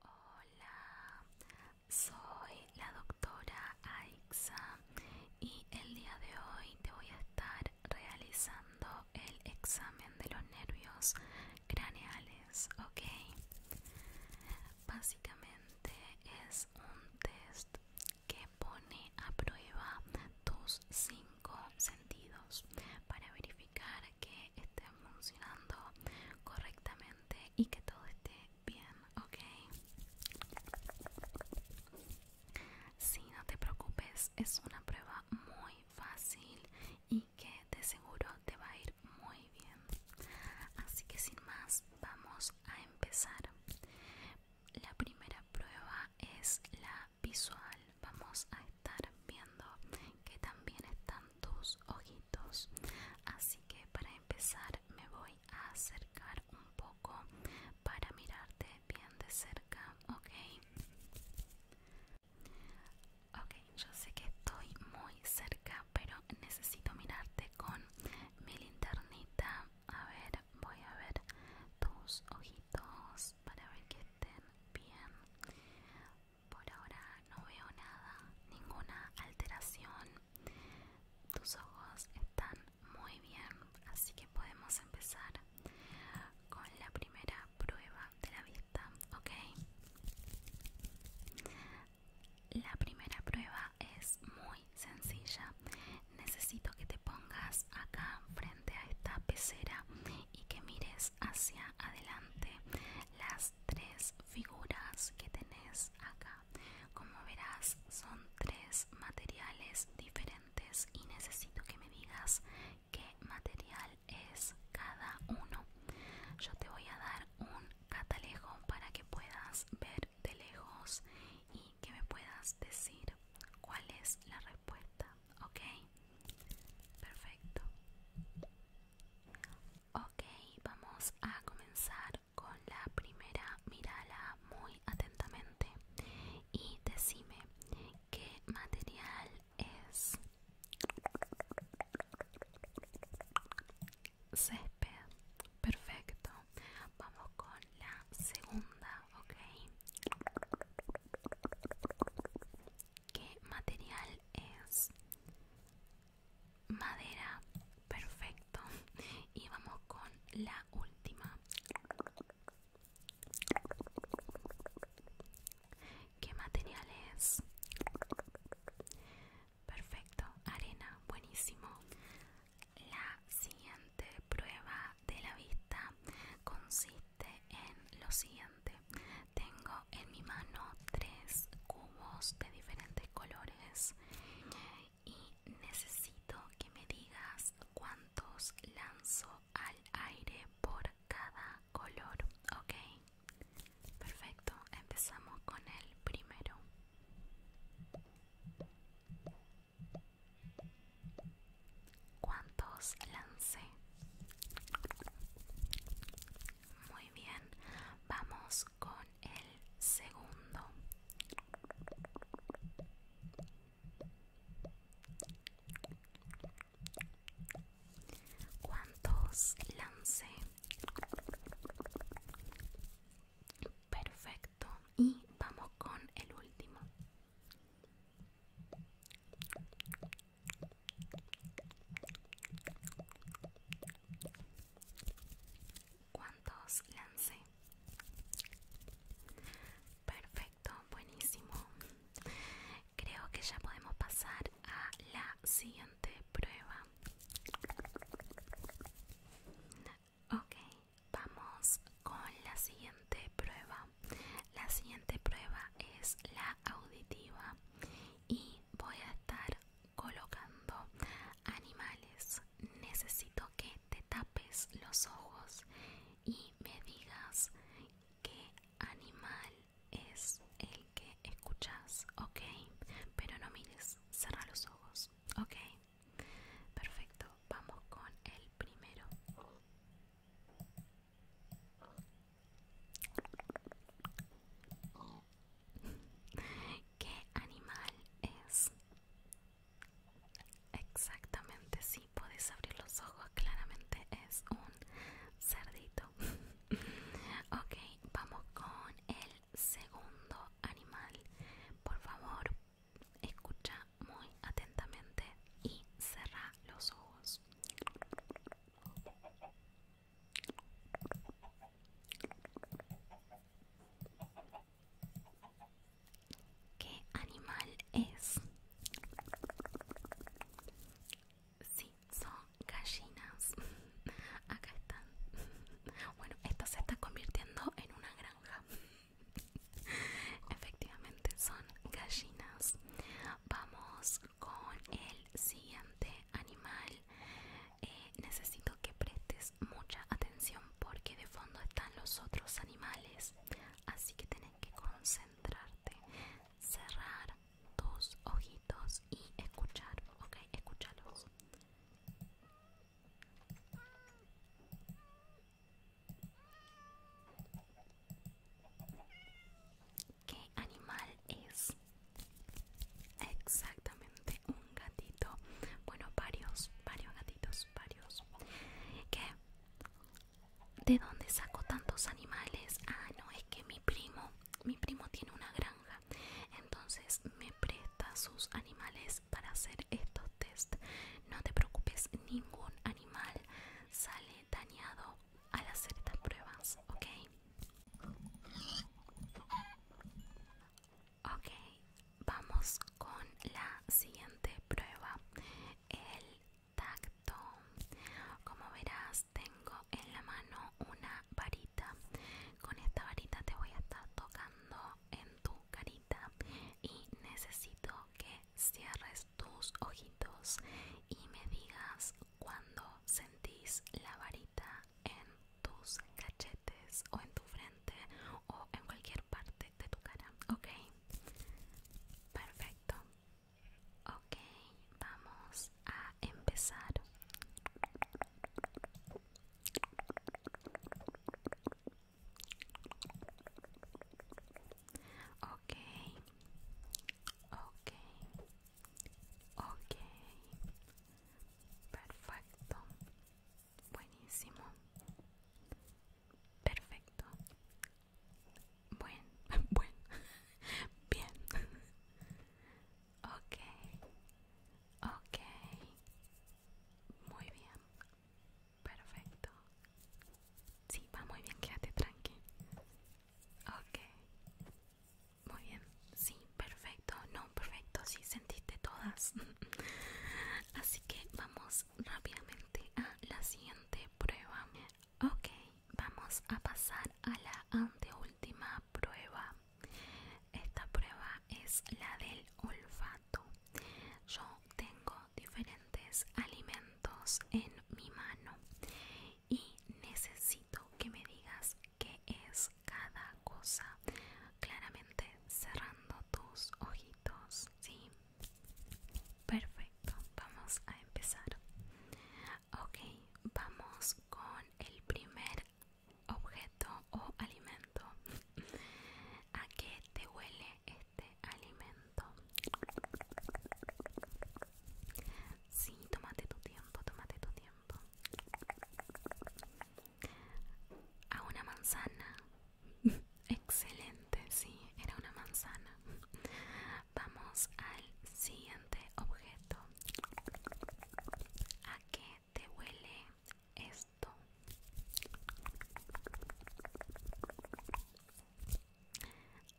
Hola, soy la doctora Aixa y el día de hoy te voy a estar realizando el examen de los nervios craneales, ¿ok? Básicamente este es un test que pone a prueba tus cinco sentidos para verificar que estén funcionando correctamente y que todo esté bien, ¿ok? Sí, no te preocupes, es una prueba muy fácil y que te seguro te va a ir muy bien. Así que sin más, vamos a empezar. La primera prueba es la visual. Vamos a estar viendo que también están tus ojitos. Así que para empezar me voy a acercar un poco para mirarte bien de cerca, ¿ok? Ok, yo sé que estoy muy cerca pero necesito mirarte con mi linternita. A ver, voy a ver tus ojitos para ver que estén bien. Por ahora no veo nada, ninguna alteración. Tus ojos están muy bien, así que podemos empezar con la primera prueba de la vista, ¿ok? La primera prueba es muy sencilla. Necesito que te pongas acá frente a esta pecera y que mires hacia adelante las tres figuras que tenés acá. Como verás, son tres materiales diferentes y necesito que me digas qué material es cada uno. Yo te voy a dar un catalejo para que puedas ver de lejos y que me puedas decir cuál es la respuesta, ¿ok? Perfecto. Ok, vamos a comenzar con la primera. Mírala muy atentamente y decime qué material es césped perfecto vamos con la segunda ok qué material es madera perfecto y vamos con la última ¿Qué material es? perfecto, arena, buenísimo. La siguiente prueba de la vista consiste en lo siguiente. Tengo en mi mano tres cubos de diferentes colores y necesito que me digas cuántos lanzo al aire por cada color, ¿ok? Perfecto, empezamos con el primero. ¿Cuántos lancé? Muy bien, vamos con el segundo. ¿Cuántos lancé? Perfecto. Y vamos con el último. ¿Cuántos lancé? Perfecto, buenísimo. Creo que ya podemos pasar a la siguiente prueba. Ok, vamos con la siguiente prueba. La siguiente prueba es la auditiva y voy a estar colocando animales. Necesito que te tapes los ojos y me digas qué animal es el que escuchas, ok, pero no mires, cierra los ojos, ok, perfecto, vamos con el primero. ¿Qué animal es? Exactamente, si puedes abrir los ojos, claramente es un cerdito. Okay, vamos con el segundo animal. Por favor, escucha muy atentamente y cerra los ojos. ¿Qué animal es? Sí, son gallinas. Acá están. Bueno, esto se está convirtiendo en una granja. Efectivamente, son gallinas. Vamos con el siguiente animal. Eh, necesito que prestes mucha atención porque de fondo están los otros animales. Así que tenés que concentrarte, cerrar dos ojitos y escuchar, ok, escúchalos. ¿Qué animal es? Exactamente, un gatito. Bueno, varios, varios gatitos, varios. ¿Qué? ¿De dónde saco tantos animales? Ah, no, es que mi primo mi primo tiene una granja, entonces me presta sus animales para hacer estos test. No te preocupes, ningún animal sale dañado al hacer estas pruebas, ¿ok? Ok, vamos con la siguiente prueba, el tacto. Como verás, tengo en la mano una varita. Con esta varita te voy a estar tocando en tu carita y necesito que cierres tus ojitos y me digas cuando sentís la varita en tus cachetes o en tu frente o en cualquier parte de tu cara. Ok, perfecto. Ok, vamos a empezar. Ok, ok, okay, perfecto, buenísimo, perfecto, buen, buen, bien. Ok, ok, muy bien, perfecto. Sí, va muy bien, quédate tranqui. Ok, muy bien, sí, perfecto, no, perfecto, sí, sentiste todas. Así que vamos rápidamente a la siguiente prueba. Ok, vamos a pasar a la anteúltima prueba. Esta prueba es la del olfato. Yo tengo diferentes alimentos en mi mano y necesito que me digas qué es cada cosa. Claramente cerrando tus ojitos, ¿sí? Perfecto, vamos a empezar. Ok, vamos con el primer objeto o alimento. ¿A qué te huele este alimento? Sí, tómate tu tiempo, tómate tu tiempo. A una manzana. Excelente, sí, era una manzana. Vamos al siguiente objeto a qué te huele esto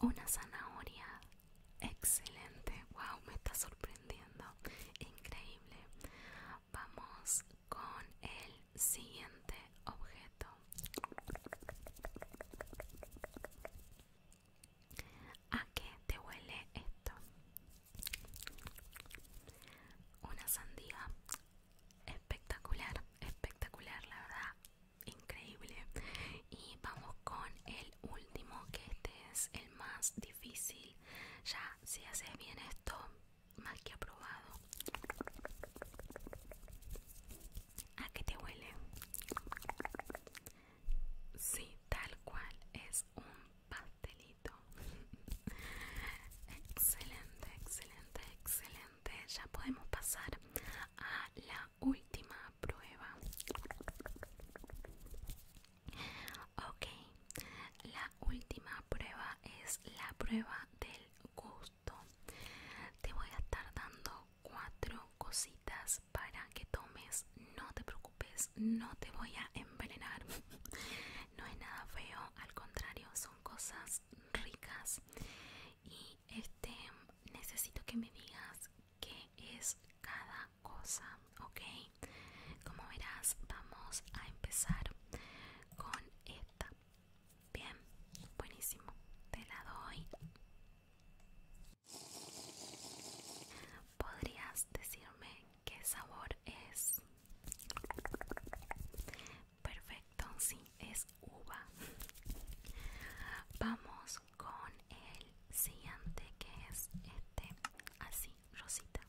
una zanahoria excelente wow me está sorprendiendo increíble vamos con el siguiente objeto ¿A qué te huele esto? Una sandía espectacular, espectacular, la verdad, increíble. Y vamos con el último, que este es el más difícil. Ya, si haces bien esto, Mal que aprobado. ¿A qué te huele? Sí, tal cual es un pastelito. excelente, excelente, excelente. Ya podemos pasar a la última prueba. Ok, la última prueba es la prueba del gusto. Te voy a estar dando cuatro cositas para que tomes. No te preocupes, no te voy a envenenar. No es nada feo, al contrario, son cosas ricas. Y este necesito que me digas qué es cada cosa, ¿ok? Como verás, vamos a empezar con esta. Bien, buenísimo. Te la doy. ¿Podrías decirme qué sabor es? Perfecto, sí, es uva. Vamos con el siguiente que es este, así, rosita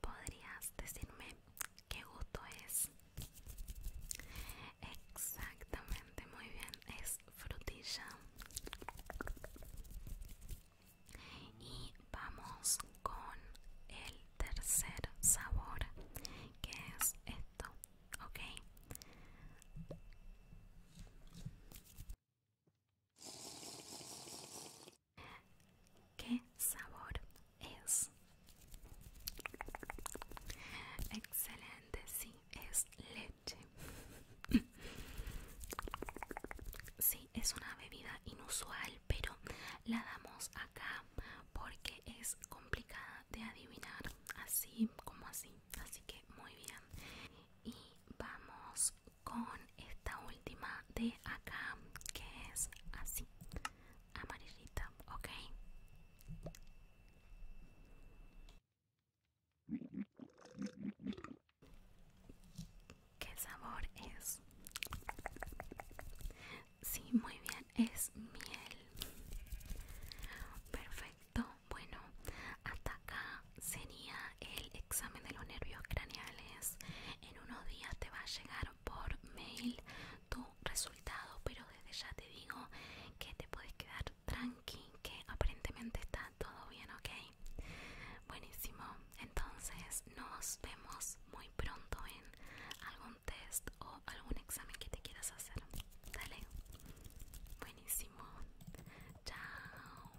podrías decirme qué gusto es exactamente muy bien es frutilla y vamos con el tercer sabor que es esto ok ¿Qué sabor es? Excelente, sí, es leche. Sí, es una bebida inusual, pero la damos acá porque es complicada de adivinar, así como así. Así que muy bien. Y vamos con esta última de acá, que es así amarillita, ok. ¿Qué sabor es? Sí, muy bien, es miel. Perfecto, bueno, hasta acá sería el examen de los nervios craneales. En unos días te va a llegar por mail tu resultado pero desde ya te digo que te puedes quedar tranqui que aparentemente está todo bien ok buenísimo entonces nos vemos muy pronto en algún test o algún examen que te quieras hacer dale buenísimo chao